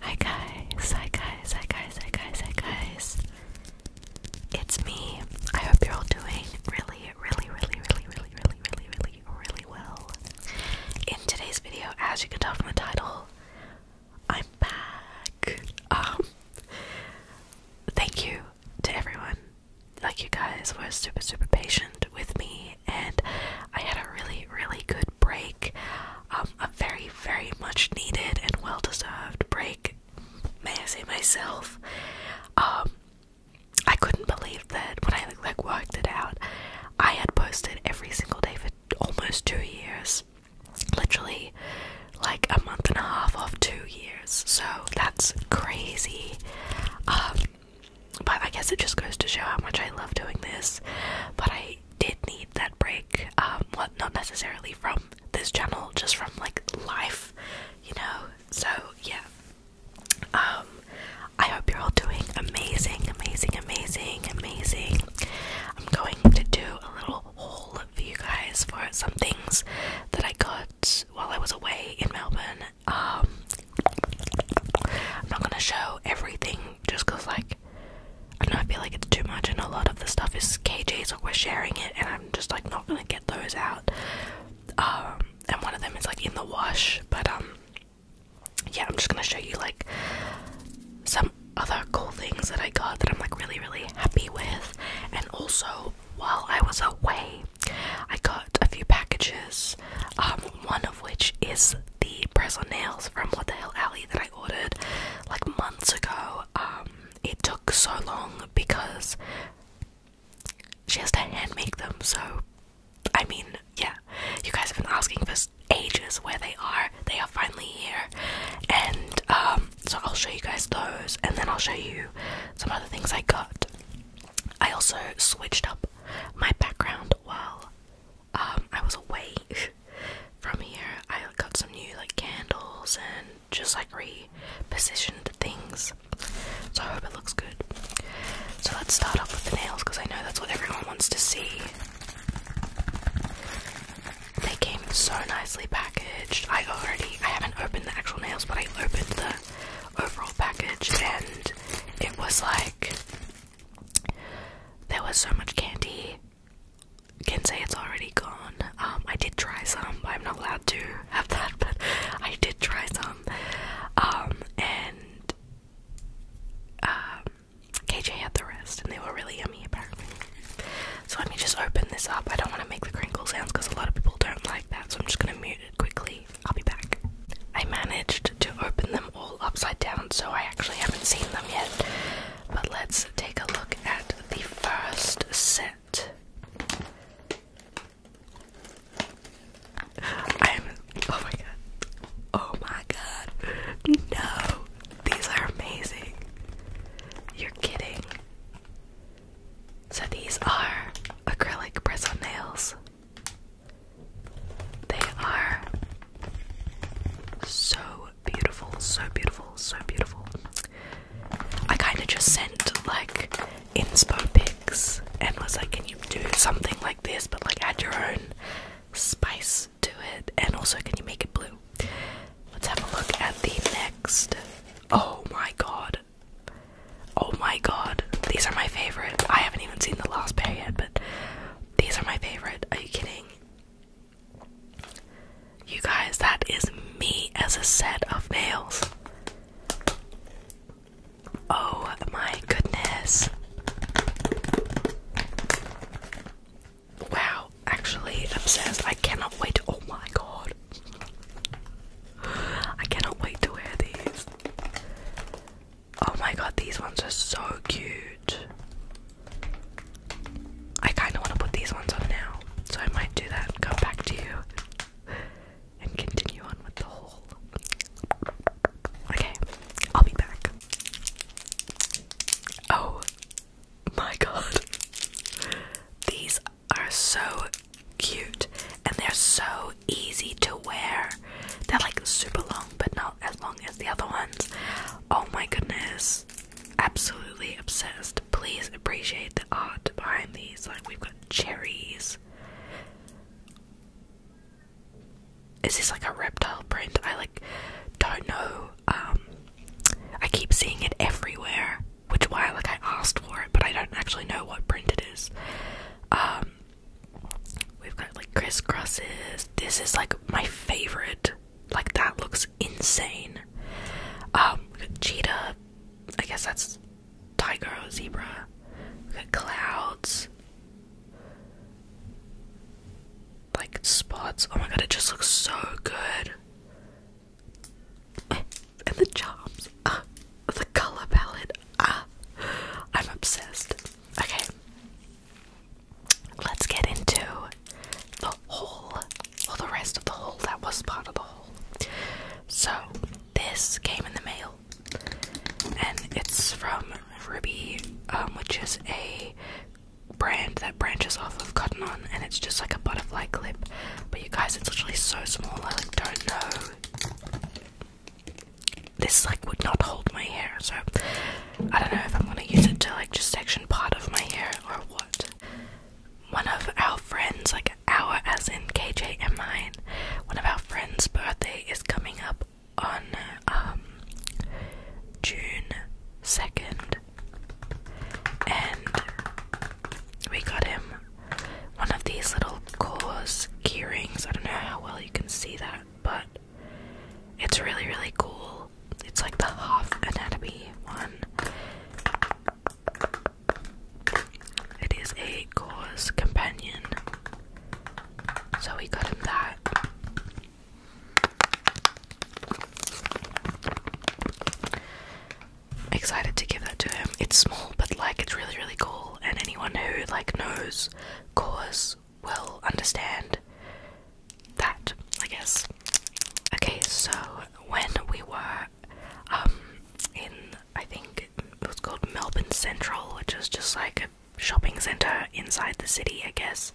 Hi guys, hi guys, hi guys, hi guys, hi guys. It's me. I hope you're all doing really, really, really, really, really, really, really, really, really well. In today's video, as you can tell from the title, I'm back. Um, thank you to everyone like you guys were super super patient with me and I had a really really good break um, a very very much needed and well deserved break may I say myself um, I couldn't believe that when I like worked it out I had posted every single day for almost 2 years literally like a month and a half of 2 years so that's crazy um, but I guess it just goes to show how much I love doing this. But I did need that break. Um, well, not necessarily from this channel, just from like life, you know. So yeah. Um, I hope you're all doing amazing, amazing, amazing, amazing. I'm going to do a little haul for you guys for some things that I got while I was away in Melbourne um, I'm not gonna show everything just because, like, I don't know, I feel like it's too much, and a lot of the stuff is kgs, like, we're sharing it, and I'm just, like, not gonna get those out. Um, and one of them is, like, in the wash, but, um, yeah, I'm just gonna show you, like, some other cool things that I got that I'm, like, really, really happy with, and also, while I was away, I got a few packages, um, one of which is the press on nails from What the Hell Alley that I ordered like months ago. Um, it took so long because she has to hand make them, so I mean, yeah, you guys have been asking for ages where they are. They are finally here, and um, so I'll show you guys those, and then I'll show you some other things I got. I also switched up my background while um, I was away from here. I got some new like candles and just like repositioned things. So I hope it looks good. So let's start off with the nails because I know that's what everyone wants to see. They came so nicely packaged. I already I haven't opened the actual nails, but I opened the overall package and it was like there was so much candy can say it's already gone um i did try some i'm not allowed to have that but i did try some um and um kj had the rest and they were really yummy apparently so let me just open this up i don't want to make the crinkle sounds because a lot of people don't like that so i'm just going to mute it quickly I'll be back. I managed to open them all upside down, so I actually haven't seen them yet. But let's take a look at the first set. I'm. Oh my god. Oh my god. No. These are amazing. You're kidding. So these are acrylic press nails. They are so beautiful, so beautiful, so beautiful. I kind of just sent like inspo pics and was like, can you do something like this but like add your own spice to it? And also, can you make it blue? Let's have a look at the next. Oh my god, Oh my god, these are my favorite. I haven't even seen the last pair yet, but these are my favorite. Are you kidding? You guys, that is me as a set of nails. Oh my goodness. Wow, actually obsessed. I cannot wait. Oh my god. I cannot wait to wear these. Oh my god, these ones are so cute. I kind of want to put these ones on now, so I might do that. Go back to you and continue on with the haul. Okay, I'll be back. Oh my god, these are so cute and they're so easy to wear. They're like super long, but not as long as the other ones. Oh my goodness. Absolutely obsessed. Please appreciate the art behind these. Like, we've got cherries. Is this like a reptile print? I like don't know. Um, I keep seeing it everywhere which is why like I asked for it, but I don't actually know what print it is. Um, we've got like crisscrosses. This is like my favorite. Like that looks insane. Um, cheetah. I guess that's tiger or zebra. We've clouds. Like spots. Oh my god, it just looks so good and the jobs, the color palette. I'm obsessed. Okay, let's get into the haul or the rest of the haul that was part of the haul. So this came in the mail, and it's from Ruby, um, which is a brand that branches off of Cotton On, and it's just like a butterfly clip. But you guys, it's literally so small. I like don't know this like would not hold my hair, so I don't know if I'm gonna use it to like just section part of my hair or what. One of our friends, like our as in KJ and mine, one of our friends' birthday is coming up on um, June second and we got him one of these little Kohl's key rings. I don't know how well you can see that, but it's really, really cool. It's like the half anatomy one. It is a Kohl's companion. So we got him that excited to give that to him. It's small, but like it's really, really cool. And anyone who like knows cause will understand that, I guess. Okay, so when we were um in I think it was called Melbourne Central, which was just like a shopping centre inside the city, I guess.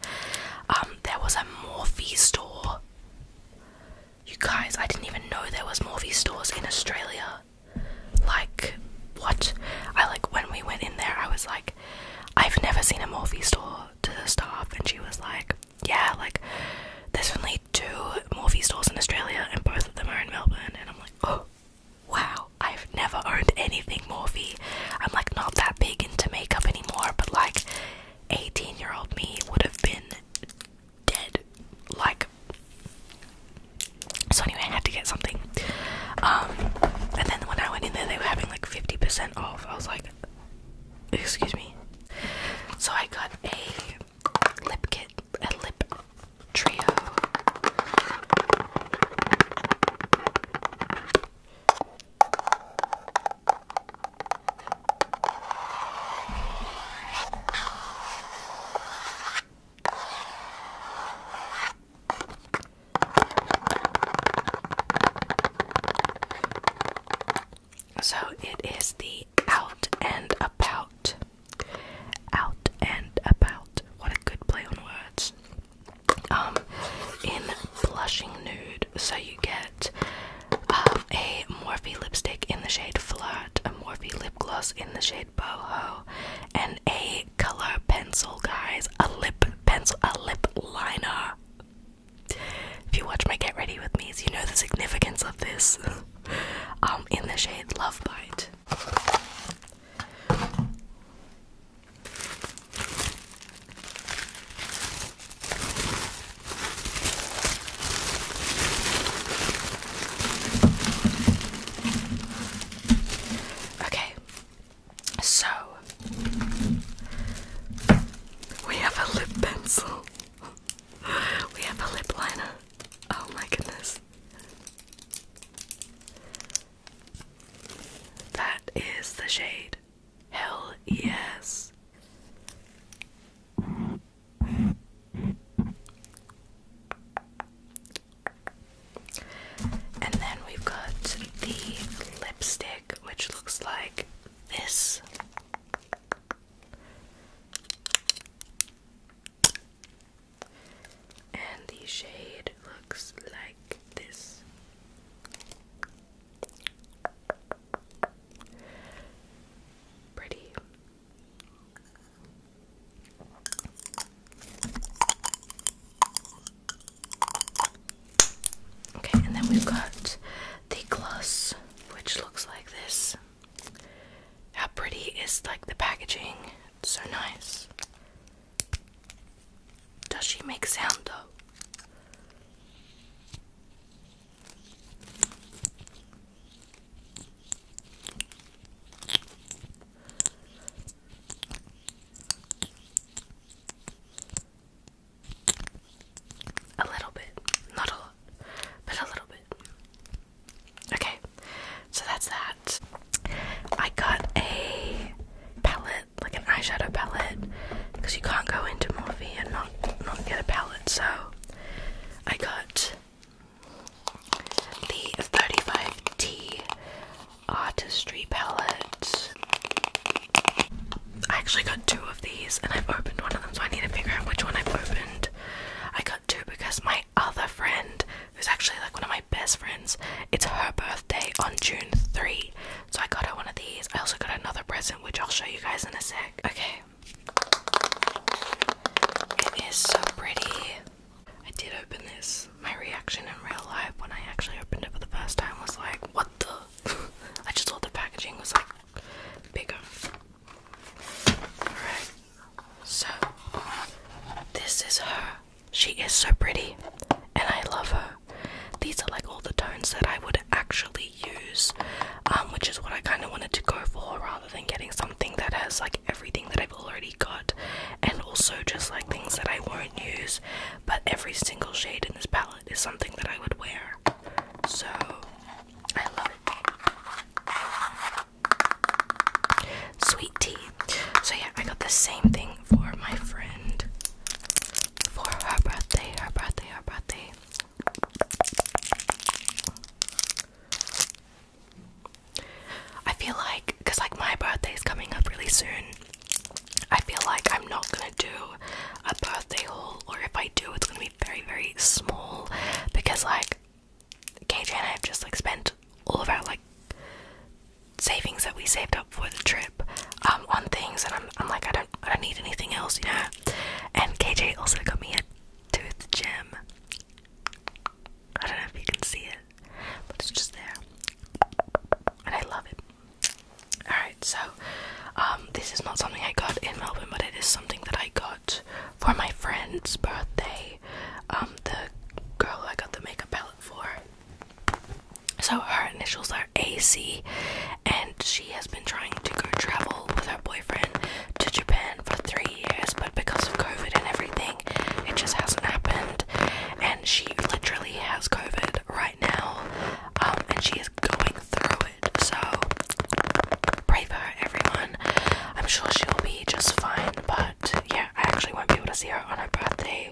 Um, there was a Morphe store. You guys, I didn't even know there was more stores in Australia. Like, what? I like when we went in there, I was like, I've never seen a Morphe store to the staff, and she was like, Yeah, like, there's only two Morphe stores in Australia, and both of them are in Melbourne. And I'm like, Oh, wow, I've never owned anything Morphe. I'm like, not that big into makeup anymore, but like, 18 year old me would have been dead. Like, so anyway, I had to get something. Um, and then when I went in there, they were having like 50% off. I was like, excuse me. So I got a lip kit, a lip trio. So it is the out and about. Out and about. What a good play on words. Um, in blushing nude, so you get um, a Morphe lipstick in the shade Flow, a Morphe lip gloss in the shade boho and a color pencil, guys. A lip pencil, a lip liner. If you watch my Get Ready With Me's, you know the significance of this. um, in the shade Love Bite. Okay, so we have a lip pencil, we have a lip liner. Oh my goodness. That is the shade. Hell yes. And then we've got the lipstick, which looks like this. And the shade looks like this. Pretty. Okay, and then we've got the gloss, which looks like this. How pretty is like the packaging? so nice. Does she make sound though? A little bit, not a lot, but a little bit. Okay, so that's that. I got a palette, like an eyeshadow palette, because you can't go into Morphe and not not get a palette. So I got the 35T Artistry palette. I actually got two of these and I've opened one of them, so I need to figure out which one I've opened. I got two because my other friend, who's actually like one of my best friends, it's her birthday on June 3. So I got her one of these. I also got another present, which I'll show you guys in a sec. Okay, it is so pretty. I did open this. My reaction in real life when I actually opened it for the first time was like, what the? I just thought the packaging was like bigger. Alright, so this is her. She is so pretty and I love her. These are like all the tones that I would actually use, um, which is what I kind of wanted to go for rather than getting something that has like everything that I've already got and also just like things that I won't use. But every single shade in this palette is something that I would wear, so I love it. Sweet tea. So, yeah, I got the same thing for my friend for her birthday, her birthday, her birthday. I feel like, because like my birthday is coming up really soon, I feel like I'm not gonna do a birthday haul, or if I do, it's gonna be very, very small because like KJ and I have just like spent all of our like savings that we saved up for the trip um, on things, and I'm, like, I don't, I don't need anything else, you know. And KJ also got me a tooth gem. I don't know if you can see it, but it's just there. And I love it. Alright, so um, this is not something I got in Melbourne, but it is something that I got for my friend's birthday. Um, the girl I got the makeup palette for. So her initials are AC, and she has been trying to go travel with her boyfriend to Japan for three years, but because of COVID and everything, it just hasn't happened. And she literally has COVID right now, um, and she is going through it. So pray for her, everyone. I'm sure she'll be just fine, but yeah, I actually won't be able to see her on her birthday.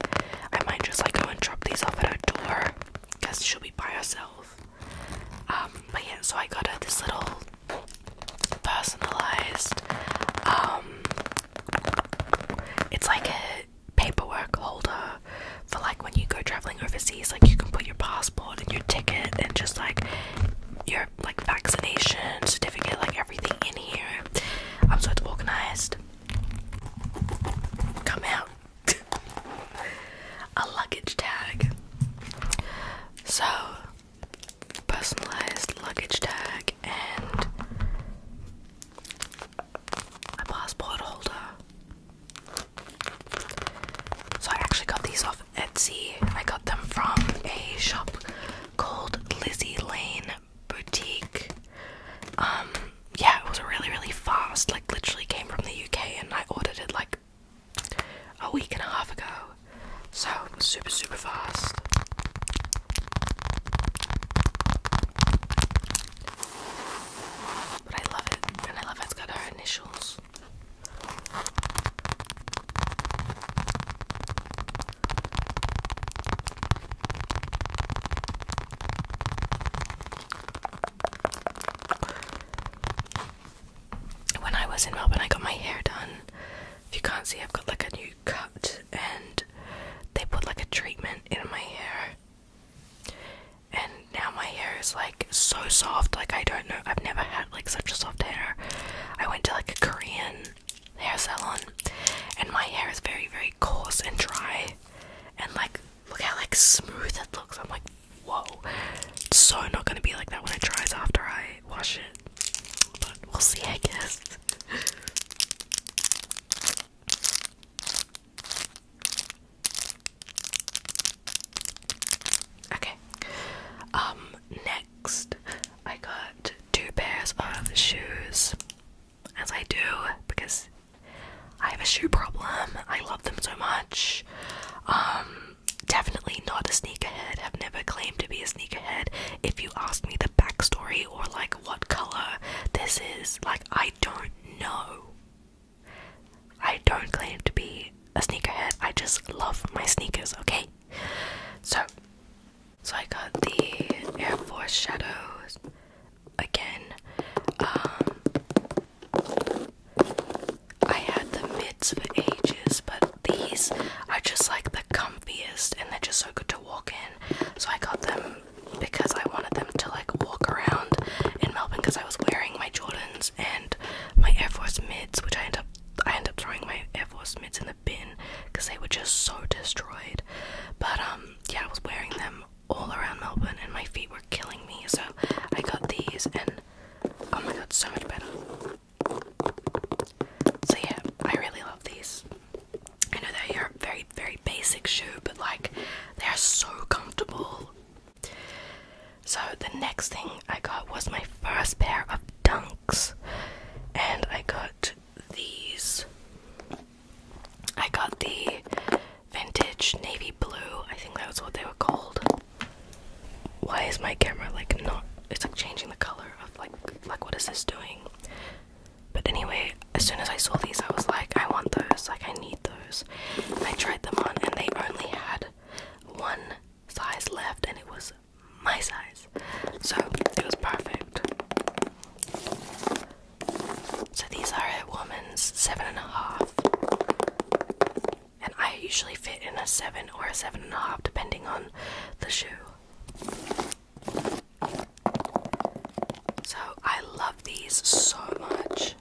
I might just like go and drop these off at her door because she'll be by herself. Um, but yeah, so I got her this little personalized, um, it's like a paperwork holder for like when you go traveling overseas, like you can put your passport and your ticket and just like your like vaccination certificate, like everything in here. I'm um, so it's organized. Come out. a luggage tag. So, personalized luggage tag and a passport holder. So, I actually got these off Etsy. I got them from a shop called Lizzie Lane Boutique. Um, yeah, it was really, really fast. Like, literally came from the UK and I ordered it like a week and a half ago. So super super fast. But I love it, and I love how it's got her initials when I was in Melbourne, I got my hair done. If you can't see, I've got like a new cut, and they put like a treatment in my hair. And now my hair is like so soft, like I don't know, I've never had like such a soft hair. I went to like a Korean hair salon, and my hair is very, very coarse and dry, and like Look how like smooth it looks. I'm like, whoa. It's so not gonna be like that when it dries after I wash it. But we'll see, I guess. okay. Um, next I got two pairs of shoes. As I do, because I have a shoe problem. I love them so much. Um definitely not a sneakerhead, have never claimed to be a sneakerhead. If you ask me the backstory or like what color this is, like I don't know. I don't claim to be a sneakerhead, I just love my sneakers, okay? So so I got the Air Force Shadows again. Um, I had the mids for ages, but these are just like the comfiest and they're just so good to walk in. So I got them because I wanted them to like walk around in Melbourne because I was wearing my Jordans and my Air Force mids, which I end up I end up throwing my Air Force mids in the bin because they were just so destroyed. But um yeah, I was wearing them all around Melbourne and my feet were killing me, so I got these and Oh my god, so much better. So yeah, I really love these. I know they're your very, very basic shoe, but like they are so comfortable. So the next thing I got was my first pair of dunks, and I got these. I got the vintage navy blue. I think that was what they were called. Why is my camera like not? It's like changing the color of like like what is this doing? But anyway, as soon as I saw these, I was like, I want those. Like I need those. I tried them on, and they only had one size left, and it was my size. So it was perfect. So these are a woman's seven and a half and I usually fit in a seven or a seven and a half, depending on the shoe. So I love these so much.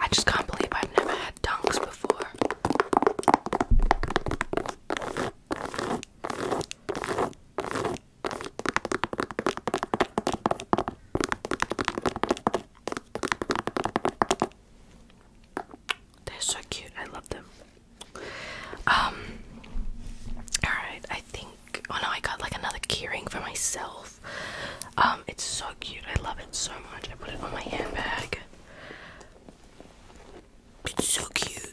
I just can't believe I've never had dunks before. They're so cute. I love them. Um. All right. I think. Oh no! I got like another keyring for myself. Um. It's so cute. I love it so much. I put it on my handbag. It's so cute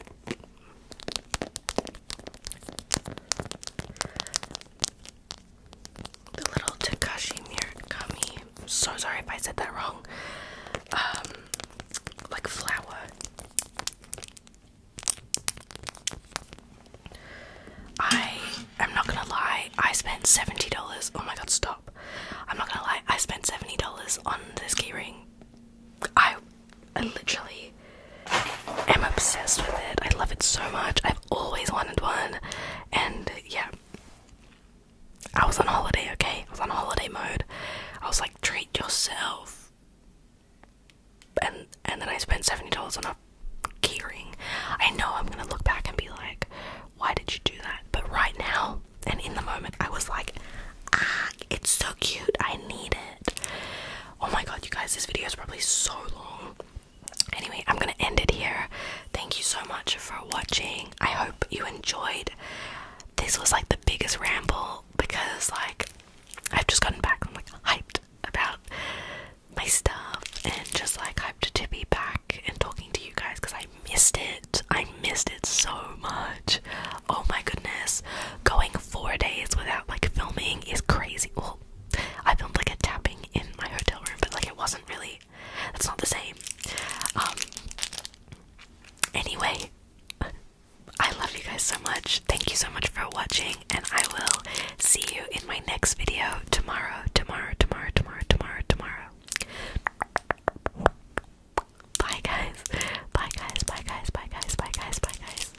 the little Takashi Murakami. So sorry if I said that wrong. Um, like flower. I am not gonna lie, I spent $70. Oh my god, stop. I'm not gonna lie, I spent $70 on this keyring. I, I literally i am obsessed with it. I love it so much. I've always wanted one, and yeah. I was on holiday, okay? I was on holiday mode. I was like, treat yourself. And and then I spent seventy dollars on a keyring. I know I'm gonna look back and be like, why did you do that? But right now and in the moment, I was like, ah, it's so cute. I need it. Oh my god, you guys, this video is probably so long. Anyway, I'm gonna end it here. Thank you so much for watching. I hope you enjoyed. This was like the biggest ramble because like I've just gotten back. I'm like hyped about my stuff and just like hyped to be back and talking to you guys because I missed it. I missed it so much. Oh my goodness. Going four days without like filming is crazy. I filmed like a tapping in my hotel room, but like it wasn't really. That's not the same. Um. Anyway, I love you guys so much. Thank you so much for watching, and I will see you in my next video tomorrow. Tomorrow. Tomorrow. Tomorrow. Tomorrow. Tomorrow. Bye guys. Bye guys. Bye guys. Bye guys. Bye guys. Bye guys.